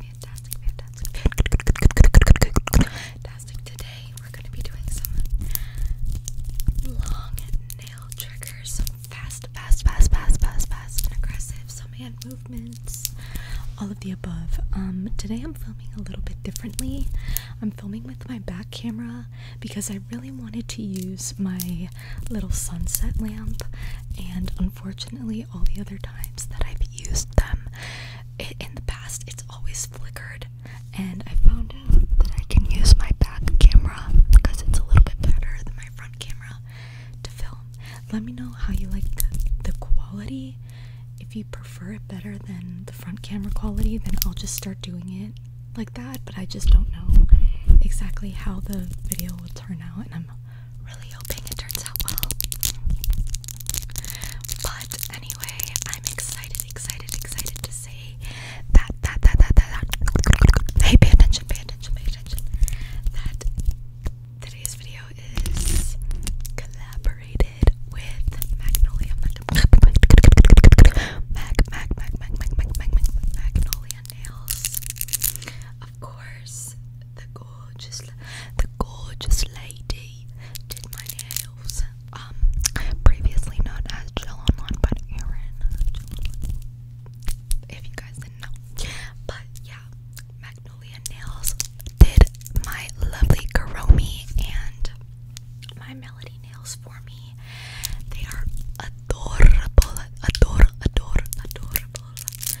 fantastic, fantastic, fantastic, fantastic. Today we're gonna be doing some long nail triggers, some fast, fast, fast, fast, fast, fast, and aggressive, some hand movements, all of the above. Um, today I'm filming a little bit differently. I'm filming with my back camera because I really wanted to use my little sunset lamp, and unfortunately all the other times that I've used them in the past, it's always flickered. And I found out that I can use my back camera because it's a little bit better than my front camera to film. Let me know how you like the, the quality. If you prefer it better than the front camera quality, then I'll just start doing it like that. But I just don't know exactly how the video will turn out, and I'm really hoping it turns out well. But anyway, I'm excited, excited, excited to say that, that, that, that, that, that. Hey, pay attention, pay attention, pay attention. That today's video is collaborated with Magnolia. Mag, mag, mag, mag, mag, mag, mag, mag, Magnolia Nails. Of course, the gorgeous, the gorgeous lady did my nails. Um, previously known as Jill but Erin. If you guys didn't know, but yeah, Magnolia Nails did my lovely Karomi and my Melody Nails for me. They are adorable, adorable, adorable, adorable.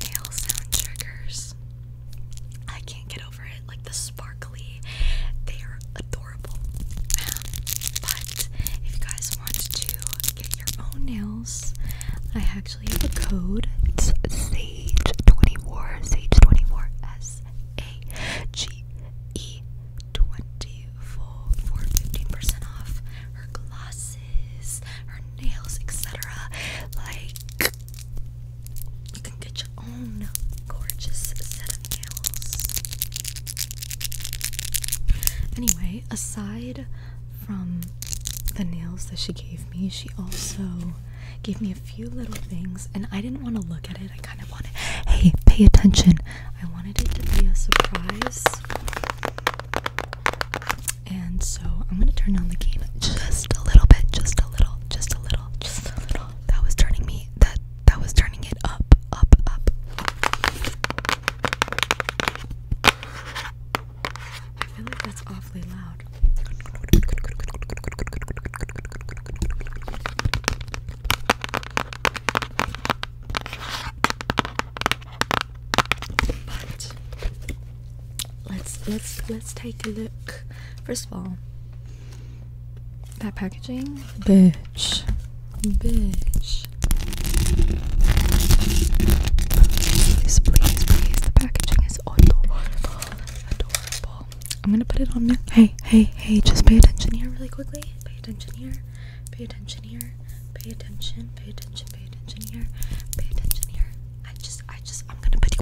nail sound triggers. I can't get over it. Like the sparkly, they are adorable. Um, but if you guys want to get your own nails, I actually have a code. It's Sage24, Sage24, S A G E 24 for 15% off her gloss her nails, etc. Like, you can get your own gorgeous set of nails. Anyway, aside from the nails that she gave me, she also gave me a few little things, and I didn't want to look at it. I kind of wanted, hey, pay attention. I wanted it to be a surprise. And so I'm gonna turn down the game just a little bit, just a little, just a little, just a little. That was turning me that that was turning it up, up, up. I feel like that's awfully loud. But let's let's let's take a look. First of all, that packaging, bitch, bitch. Please, please, please. The packaging is adorable, adorable. I'm gonna put it on now. Hey, hey, hey! Just pay attention here, really quickly. Pay attention here. Pay attention here. Pay attention. Pay pay attention here, pay attention here. I just, I just, I'm gonna put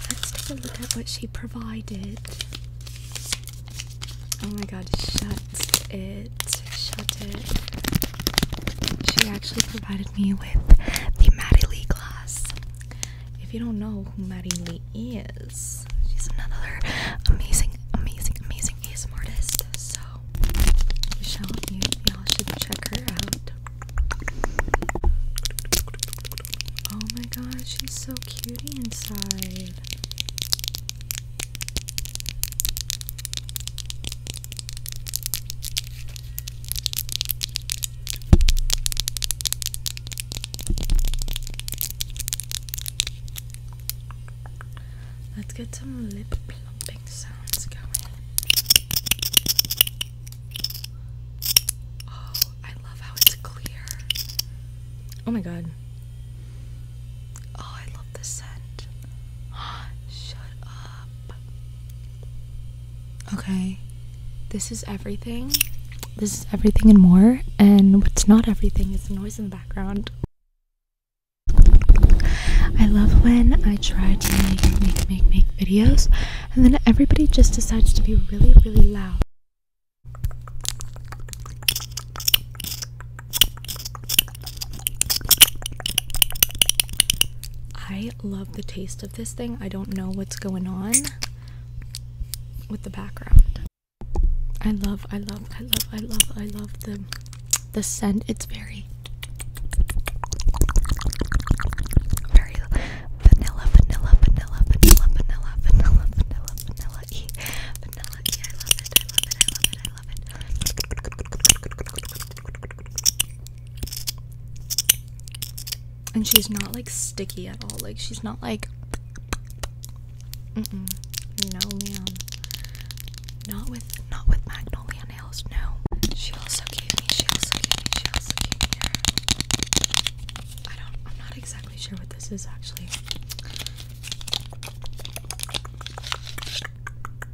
Let's take a look at what she provided. Oh my god, shut it. Shut it. She actually provided me with the Maddie Lee glass. If you don't know who Maddie Lee is, she's another amazing, amazing, amazing ASM artist. So, you y'all should check her out. Oh my god, she's so cutie inside. Let's get some lip plumping sounds going. Oh, I love how it's clear. Oh my god. Oh, I love the scent. Shut up. Okay. This is everything. This is everything and more. And what's not everything is the noise in the background. I love when I try to make, make, make, make videos and then everybody just decides to be really, really loud. I I love the taste of this thing. I don't know what's going on with the background. I love, I love, I love, I love, I love the the scent. It's very very vanilla, vanilla, vanilla, vanilla, vanilla, vanilla, vanilla, vanilla e. Vanilla e. I love it. I love it. I love it. I love it. And she's not like sticky at all. Like she's not like Mm-mm. No ma'am. Not with not with magnolia nails, no. She also gave me, she also gave me, she also gave me I don't I'm not exactly sure what this is actually.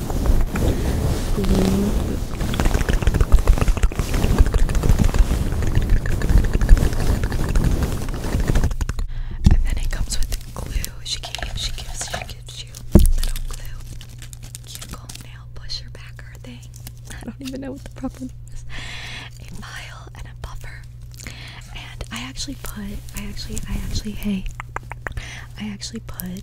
And then it comes with glue. She gave, she gives, she gives you little glue. Cuticle nail pusher backer thing. I don't even know what the proper is. A file and a buffer. And I actually put, I actually, I actually, hey, I actually put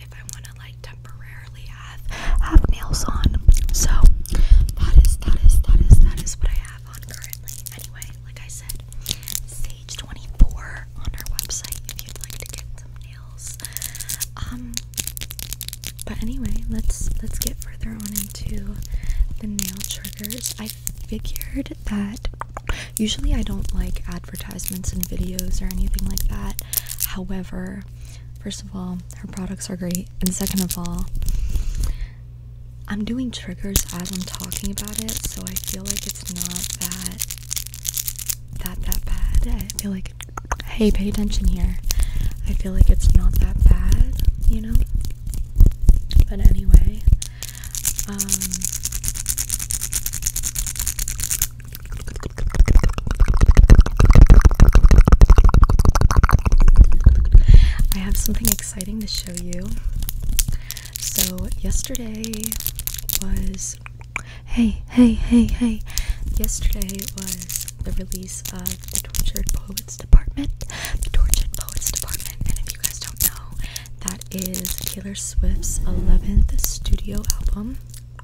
if I want to like temporarily have have nails on. So that is that is that is that is what I have on currently. Anyway, like I said, Sage twenty four on our website if you'd like to get some nails. Um, but anyway, let's let's get further on into the nail triggers. I figured that usually I don't like advertisements and videos or anything like that. However, First of all, her products are great, and second of all, I'm doing triggers as I'm talking about it, so I feel like it's not that that that bad. I feel like hey, pay attention here. I feel like it's not that bad, you know? But anyway, um, I have something exciting to show you. So, yesterday was. Hey, hey, hey, hey. Yesterday was the release of the Tortured Poets Department. The Tortured Poets Department. And if you guys don't know, that is Taylor Swift's 11th studio album.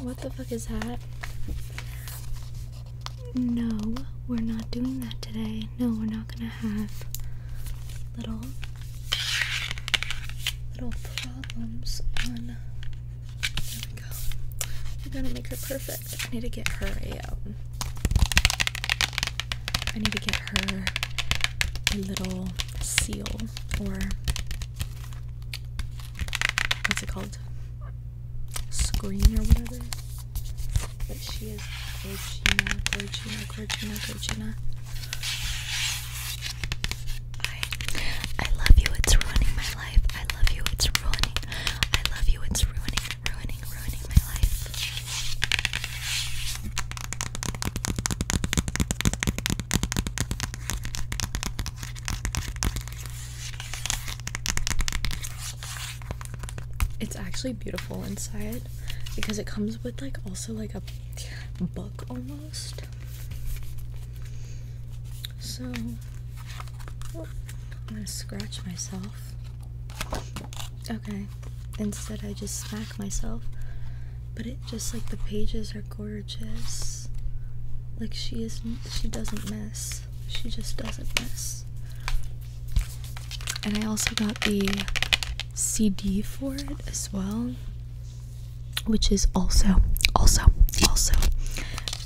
What the fuck is that? No, we're not doing that today. No, we're not gonna have little little problems on there we go. We're gonna make her perfect. I need to get her a I need to get her a little seal or what's it called? Screen or whatever. But she is Gorgina, Gorgina, Gorgina, Gorgina. I, I love you, it's ruining my life. I love you, it's ruining. I love you, it's ruining, ruining, ruining my life. It's actually beautiful inside because it comes with like also like a book almost. So oh, I'm gonna scratch myself. Okay instead I just smack myself. But it just like the pages are gorgeous. Like she is she doesn't miss. She just doesn't miss. And I also got the CD for it as well, which is also also also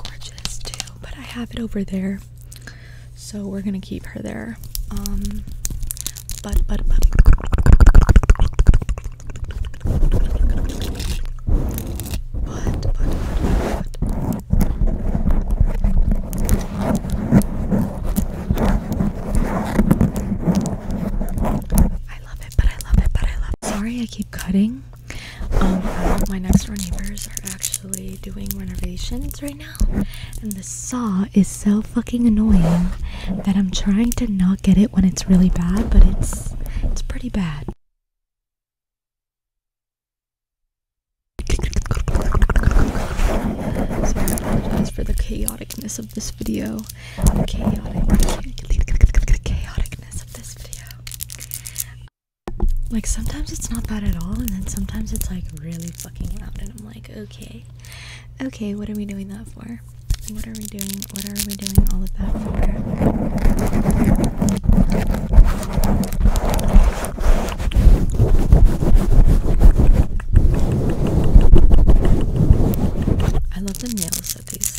gorgeous too. But I have it over there. So we're going to keep her there. Um but but but I love it, but I love it, but I love it. Sorry I keep cutting. Um my next door neighbors are actually doing renovations right now and the saw is so fucking annoying that I'm trying to not get it when it's really bad, but it's it's pretty bad. So I apologize for the chaoticness of this video. Like sometimes it's not bad at all, and then sometimes it's like really fucking loud, and I'm like, okay, Okay, what are we doing that for? What are we doing? What are we doing all of that for? I love the nails that these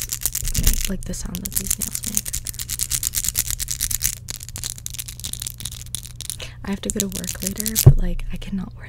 like the sound that these nails make. I have to go to work later, but like I cannot wear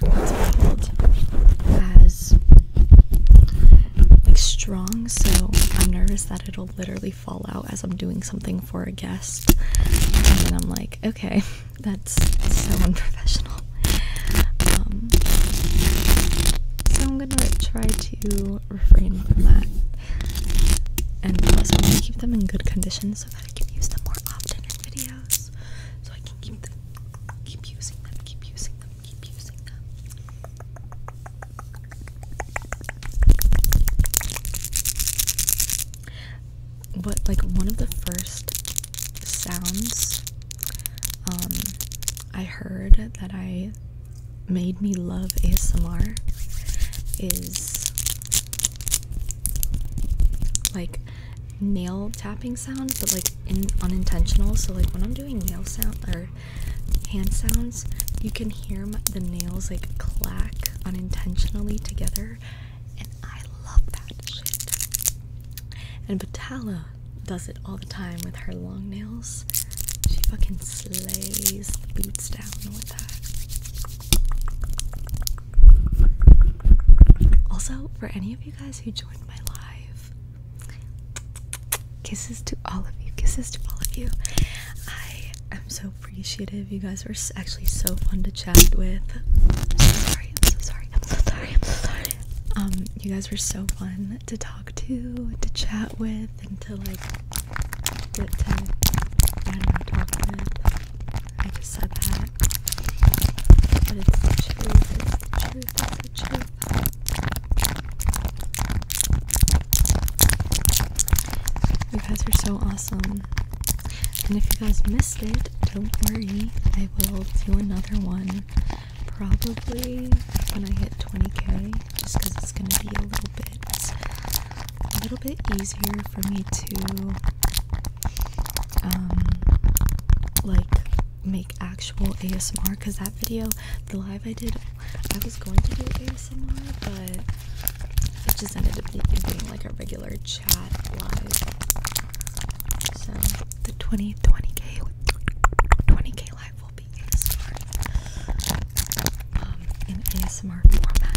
what's it as like strong, so I'm nervous that it'll literally fall out as I'm doing something for a guest, and then I'm like, okay, that's so unprofessional. Um, so I'm gonna try to refrain from that, and also keep them in good condition so that I can use them more often in videos. So I can keep them, keep using them, keep using them, keep using them. But like one of the first sounds um I heard that I made me love ASMR is like nail tapping sounds, but like unintentional. So like when I'm doing nail sound or hand sounds, you can hear the nails like clack unintentionally together, and I love that shit. And Batala does it all the time with her long nails. She fucking slays the boots down with that. Also, for any of you guys who joined my live Kisses to all of you. Kisses to all of you. I am so appreciative. You guys were actually so fun to chat with. I'm sorry. I'm so sorry. I'm so sorry. I'm so sorry. Um, you guys were so fun to talk to, to chat with, and to like, to, to I don't I just said that. You guys are so awesome. And if you guys missed it, don't worry, I will do another one probably when I hit 20k, just because it's going to be a little bit, a little bit easier for me to um, like make actual ASMR because that video, the live I did, I was going to do ASMR, but it just ended up being like a regular chat live. So the 20 20k 20k live will be ASMR um, in ASMR format.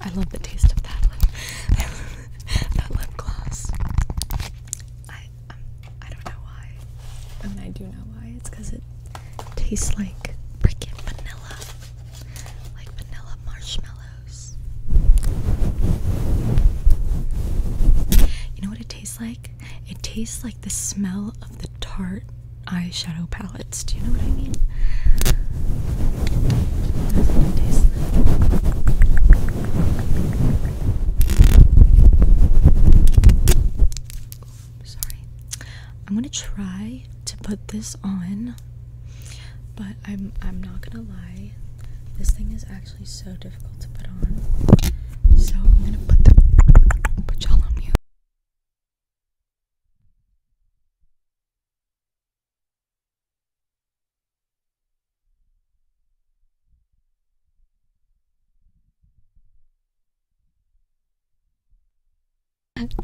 I love the taste of that lip, that lip gloss. Um, I don't know why. I I do know why. It's because it tastes like freaking vanilla, like vanilla marshmallows. You know what it tastes like? It tastes like the smell of the Tarte eyeshadow palettes. Do you know what I mean? Sorry. I'm gonna try to put this on, but I'm I'm not gonna lie. This thing is actually so difficult to put on. So I'm gonna put the put y'all on mute.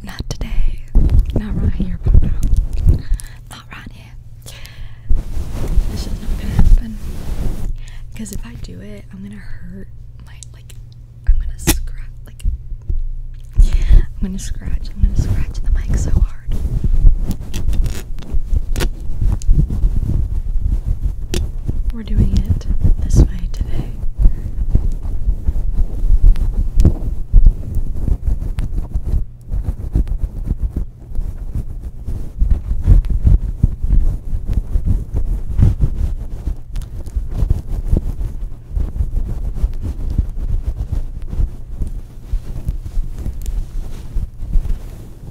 Not today. Not right here, Papa. Not right here. This is not gonna happen. Because if I do it, I'm gonna hurt my like. I'm gonna scratch like. I'm gonna scratch. I'm gonna scratch the mic so hard. We're doing it this way today. I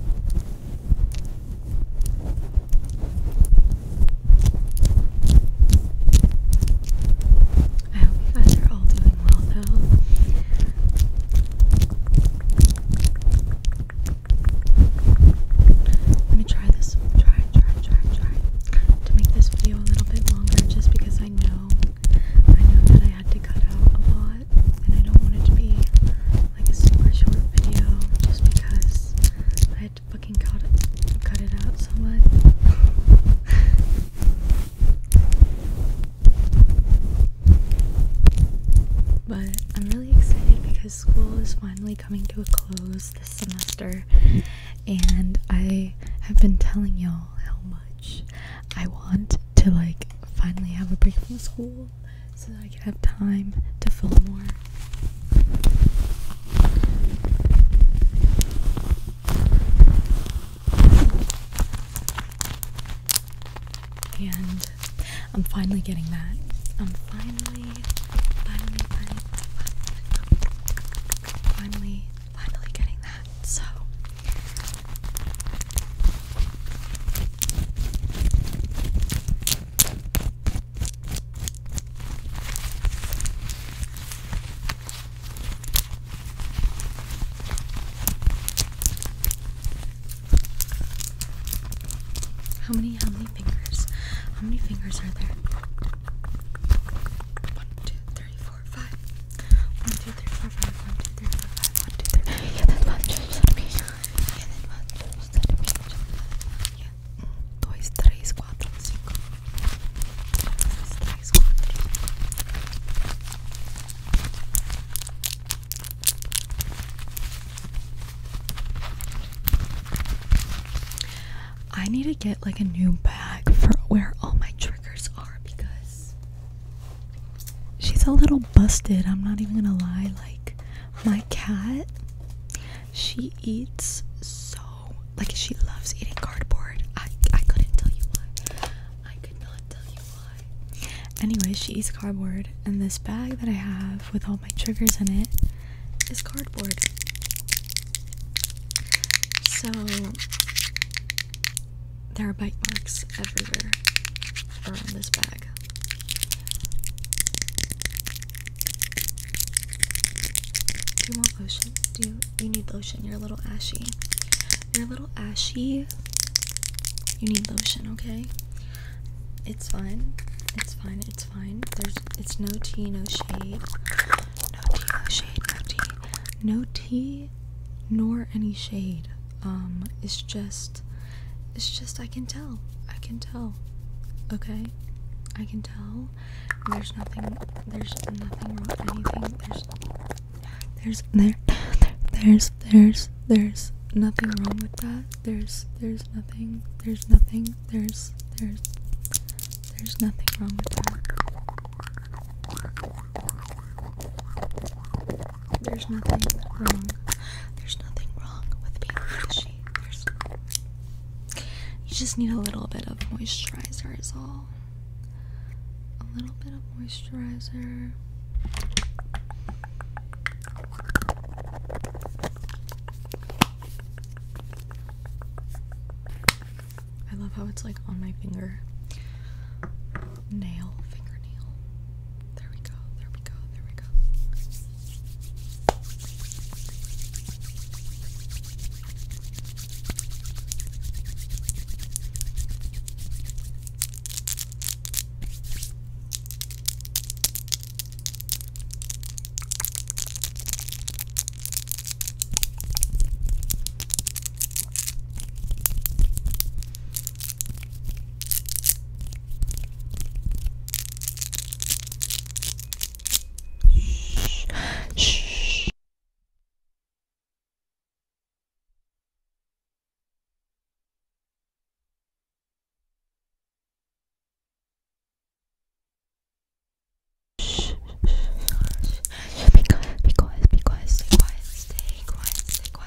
hope you guys are all doing well, though. Let me try this. Try, try, try, try to make this video a little bit longer, just because I know, I know that I had to cut out a lot, and I don't want it to be like a super short video just because I had to fucking cut it, cut it out so but I'm really excited because school is finally coming to a close this semester, and I have been telling y'all I want to like finally have a break from school so that I can have time to film more. And I'm finally getting that. I'm finally, finally, finally, finally, finally, finally getting that. So how many how many fingers? How many fingers are there? One, two, three, four, five. One, two, three, four, five. One, two, three, four, five. Yeah, that's one Yeah, that's one trips on Yeah. Dois, três, quatro, I need to get like a new bag for where all my triggers are because she's a little busted. I'm not even gonna lie. Like, my cat, she eats so like she loves eating cardboard. I I couldn't tell you why. I could not tell you why. Anyway, she eats cardboard, and this bag that I have with all my triggers in it is cardboard. So there are bite marks everywhere around this bag. Do you want lotion? Do you, need lotion? You're a little ashy. You're a little ashy. You need lotion, okay? It's fine. It's fine. It's fine. There's it's no tea, no shade. No tea, no shade, no tea. No tea, nor any shade. Um, it's just it's just I can tell. I can tell. Okay? I can tell. There's nothing there's nothing wrong anything. there's there there's there's there's nothing wrong with that. There's there's nothing there's nothing there's there's there's nothing wrong with that. There's nothing wrong. There's nothing wrong with being itchy. you just need a little bit of moisturizer is all. A little bit of moisturizer. I love how it's like on my finger nail, fingernail. There we go, there we go, there we go. Shh. Shh. Be quiet, be quiet, be quiet, stay quiet, stay quiet, stay quiet.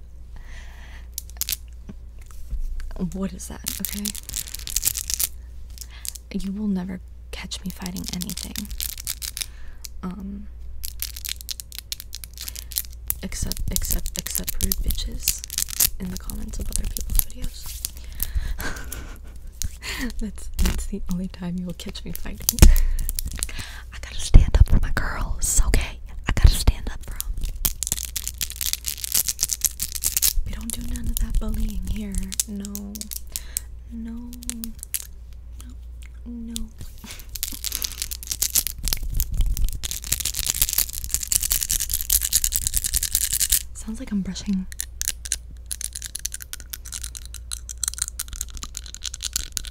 what is that? Okay. You will never catch me fighting anything. Um except except except rude bitches in the comments of other people's videos. that's that's the only time you will catch me fighting. I gotta stand up for my girls, okay? I gotta stand up for them. We don't do none of that bullying here. No. No. No. No. Sounds like I'm brushing.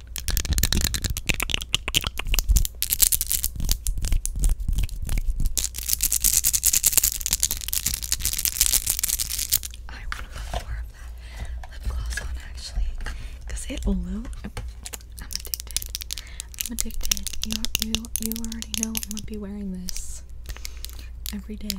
I want to put more of that lip gloss on actually it will look. I'm addicted. I'm addicted. You, you, you already know I'm going to be wearing this every day.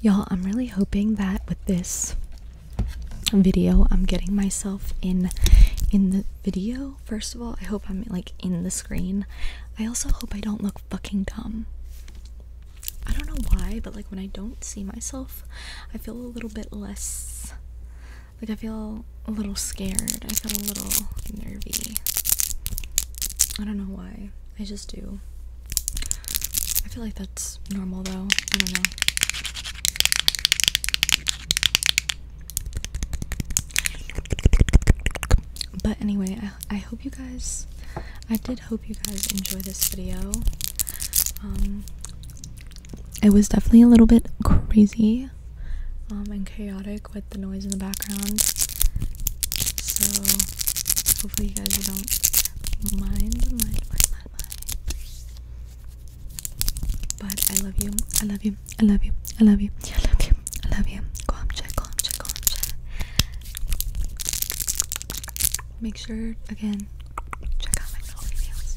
Y'all, I'm really hoping that with this video, I'm getting myself in in the video. First of all, I hope I'm like in the screen. I also hope I don't look fucking dumb. I don't know why, but like when I don't see myself, I feel a little bit less like I feel a little scared. I feel a little nervy. I don't know why. I just do. I feel like that's normal though. I don't know. But anyway, I, I hope you guys, I did hope you guys enjoy this video. Um, it was definitely a little bit crazy. Um, and chaotic with the noise in the background. So hopefully you guys don't mind, mind, mind, But I love you. I love you. I love you. I love you. I love you. I love you. Go check. Go check. Go check. Make sure again. Check out my videos.